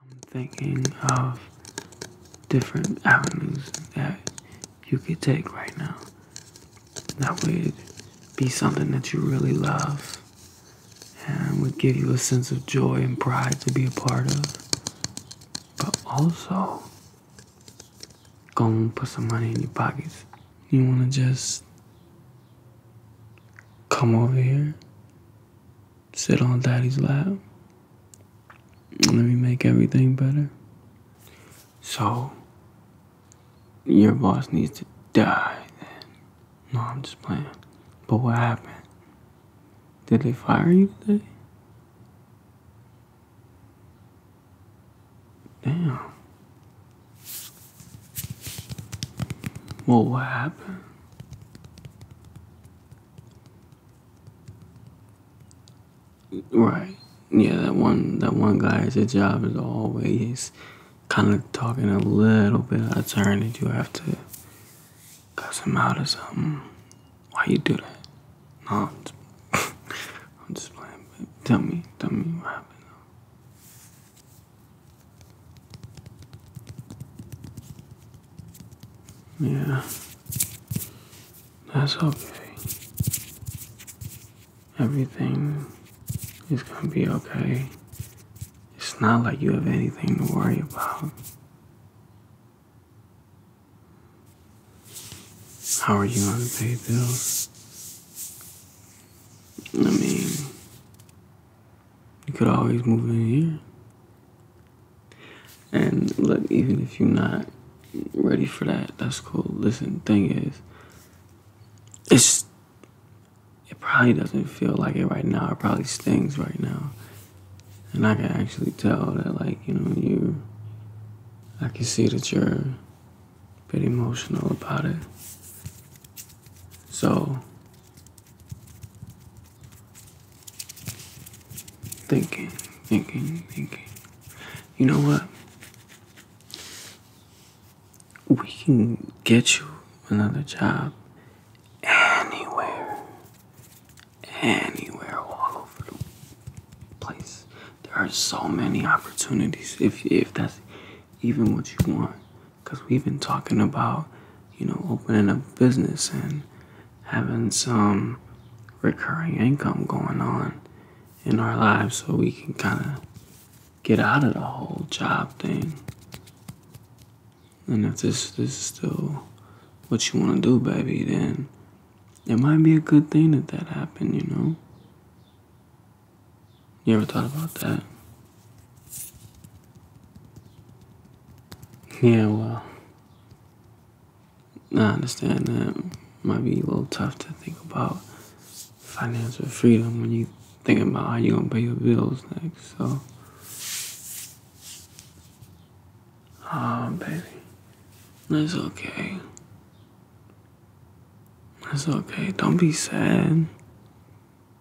I'm thinking of different avenues that you could take right now that would be something that you really love and would give you a sense of joy and pride to be a part of. But also, go and put some money in your pockets. You want to just come over here sit on daddy's lap let me make everything better so your boss needs to die then no i'm just playing but what happened did they fire you today damn well what happened Right. Yeah, that one that one guy his job is always kinda talking a little bit out of turn that you have to cuss him out or something. Why you do that? No, I'm just, I'm just playing, but tell me, tell me what happened. Yeah. That's okay. Everything is gonna be okay. It's not like you have anything to worry about. How are you gonna pay bills? I mean, you could always move in here. And look, even if you're not ready for that, that's cool. Listen, thing is, it's it probably doesn't feel like it right now. It probably stings right now. And I can actually tell that like, you know, you I can see that you're a bit emotional about it. So Thinking, thinking, thinking. You know what? We can get you another job anywhere. Anywhere all over the place. There are so many opportunities if if that's even what you want because we've been talking about, you know, opening a business and having some recurring income going on in our lives so we can kind of get out of the whole job thing. And if this, this is still what you want to do, baby, then it might be a good thing that that happened, you know? You ever thought about that? Yeah, well, I understand that might be a little tough to think about financial freedom when you think about how you're gonna pay your bills next. So, um, baby, that's okay. That's okay. Don't be sad.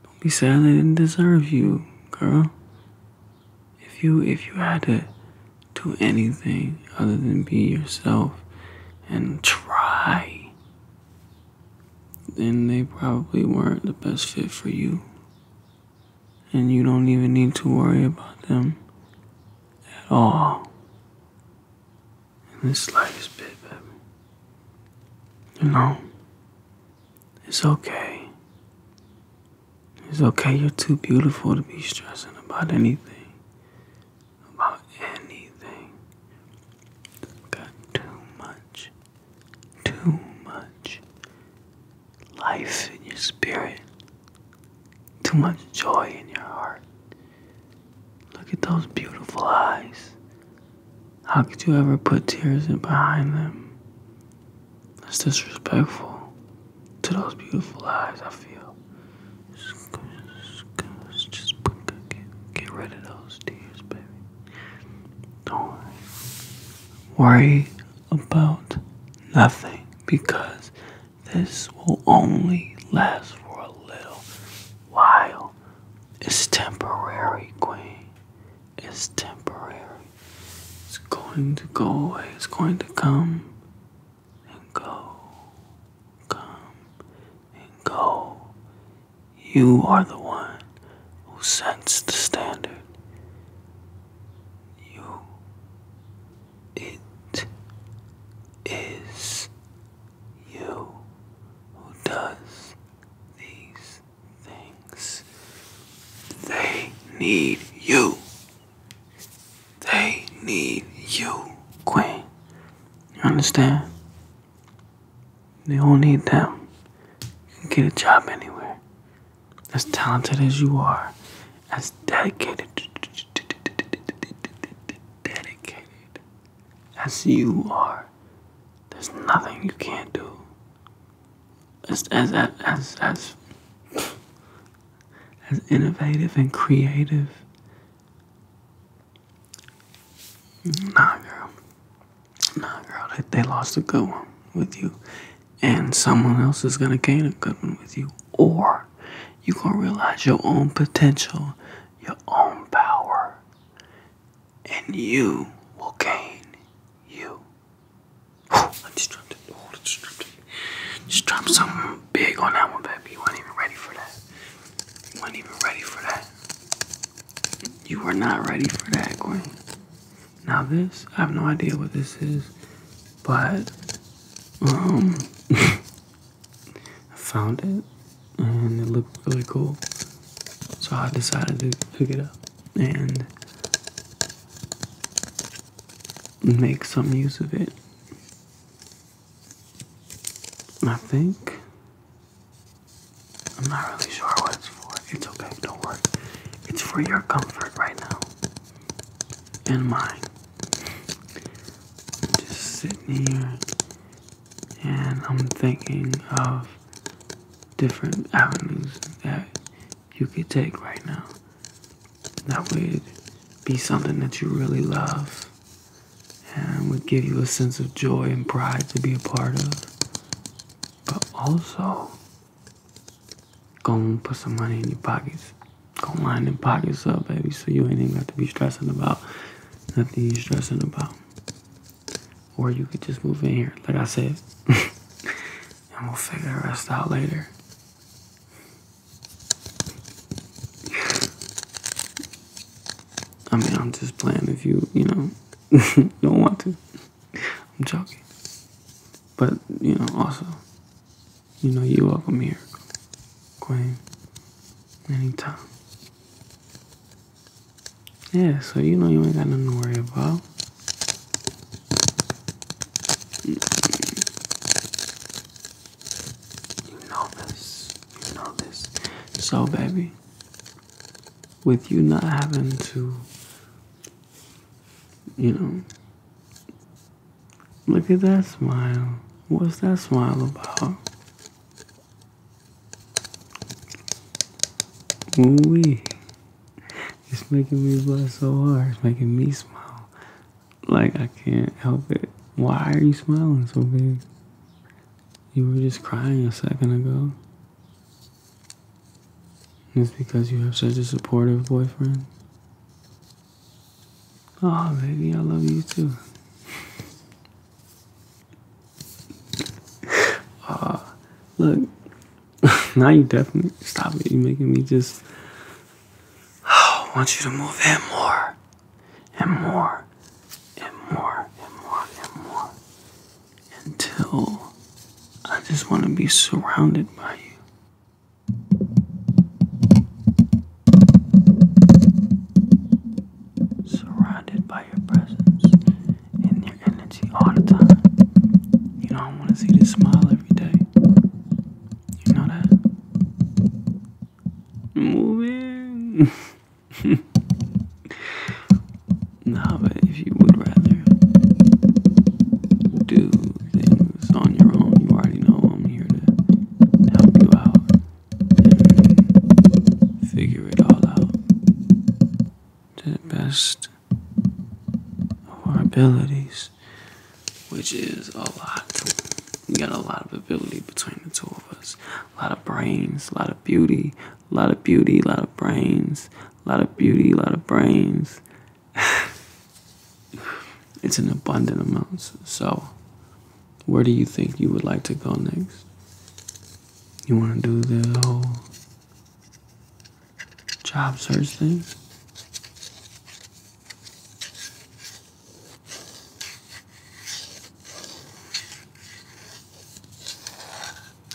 Don't be sad they didn't deserve you, girl. If you if you had to do anything other than be yourself and try, then they probably weren't the best fit for you. And you don't even need to worry about them at all. This life is big, baby. You know, it's okay. It's okay, you're too beautiful to be stressing about anything. About anything. Got too much, too much life in your spirit, too much joy in your heart. Look at those beautiful eyes. How could you ever put tears in behind them? That's disrespectful to those beautiful eyes, I feel. just get, rid of those tears, baby. Don't Worry about nothing because this will only last for a little while. It's temporary, Queen. It's temporary. It's going to go away. It's going to come and go. Come and go. You are the one who sets the standard. You. It is you who does these things. They need you. They need you, Queen. You understand? They do need them. You can get a job anywhere. As talented as you are, as dedicated, dedicated as you are. There's nothing you can't do. As as as as as innovative and creative. Nah, girl. Nah, girl. They, they lost a good one with you, and someone else is gonna gain a good one with you, or you gonna realize your own potential your own power, and you will gain you. just drop something big on that one, baby. You weren't even ready for that. You weren't even ready for that. You were not ready for that, Gwen. Now this, I have no idea what this is, but um, I found it and it looked really cool. So I decided to pick it up and make some use of it. I think. I'm not really sure what it's for. It's okay, don't worry. It's for your comfort right now. And mine. Just sitting here and I'm thinking of different avenues that you could take right now. That would be something that you really love and would give you a sense of joy and pride to be a part of. But also, gonna put some money in your pockets Go line them pockets up, baby, so you ain't even got to be stressing about nothing you're stressing about. Or you could just move in here, like I said. and we'll figure the rest out later. I mean, I'm just playing if you, you know, don't want to. I'm joking. But, you know, also, you know you welcome here, Queen. Anytime. Yeah, so you know you ain't got nothing to worry about. You know this. You know this. So, baby, with you not having to, you know, Look at that smile. What's that smile about? ooh It's making me blush so hard. It's making me smile. Like I can't help it. Why are you smiling so big? You were just crying a second ago. It's because you have such a supportive boyfriend. Oh, baby, I love you too. Oh, look. now you definitely stop it. You're making me just. Oh, I want you to move in more and more and more and more and more until I just want to be surrounded by you. Surrounded by your presence and your energy all the time. You know, I want to see this smile every day. You know that? Moving. nah, but if you would rather do things on your own, you already know I'm here to help you out figure it all out to the best of our abilities, which is a lot. We got a lot of ability between the two of us. A lot of brains, a lot of beauty, a lot of beauty, a lot of brains, a lot of beauty, a lot of brains. it's an abundant amount. So, where do you think you would like to go next? You want to do the whole job search thing?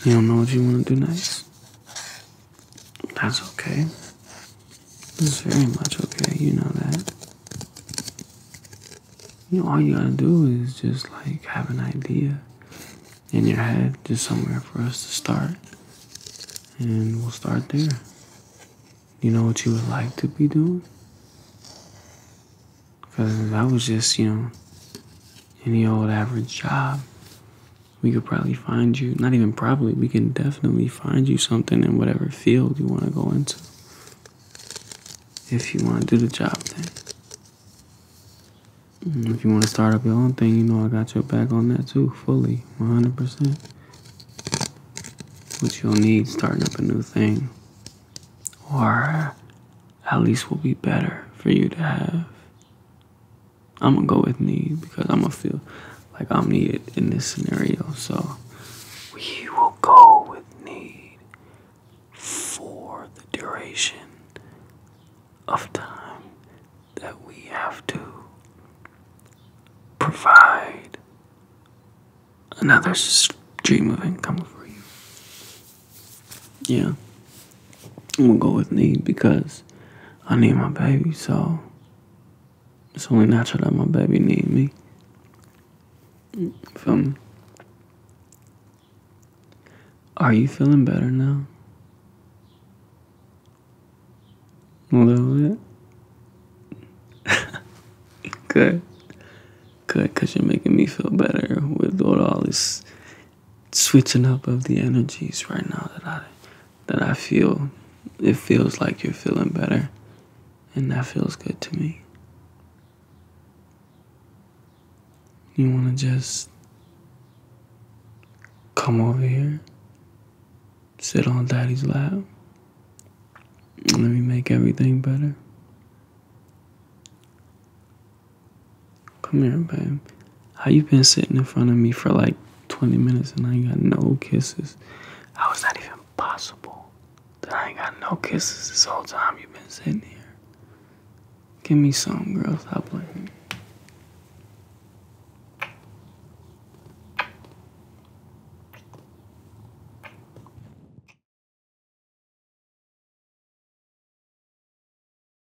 You don't know what you want to do next? That's okay. It's very much okay, you know that. You know, all you gotta do is just like have an idea in your head, just somewhere for us to start. And we'll start there. You know what you would like to be doing? Because that was just, you know, any old average job, we could probably find you not even probably we can definitely find you something in whatever field you want to go into if you want to do the job thing mm, if you want to start up your own thing you know i got your back on that too fully 100% which you'll need starting up a new thing or at least will be better for you to have I'm gonna go with need because I'm gonna feel like I'm needed in this scenario. So we will go with need for the duration of time that we have to provide another stream of income for you. Yeah. I'm gonna go with need because I need my baby, so it's only natural that my baby needs me. Feel me? Are you feeling better now? A little bit? Good. Good, because you're making me feel better with all this switching up of the energies right now that I that I feel it feels like you're feeling better and that feels good to me. You want to just come over here, sit on daddy's lap, and let me make everything better. Come here, babe. How you been sitting in front of me for like 20 minutes and I ain't got no kisses? How is that even possible? I ain't got no kisses this whole time you've been sitting here. Give me some, girl. Stop playing.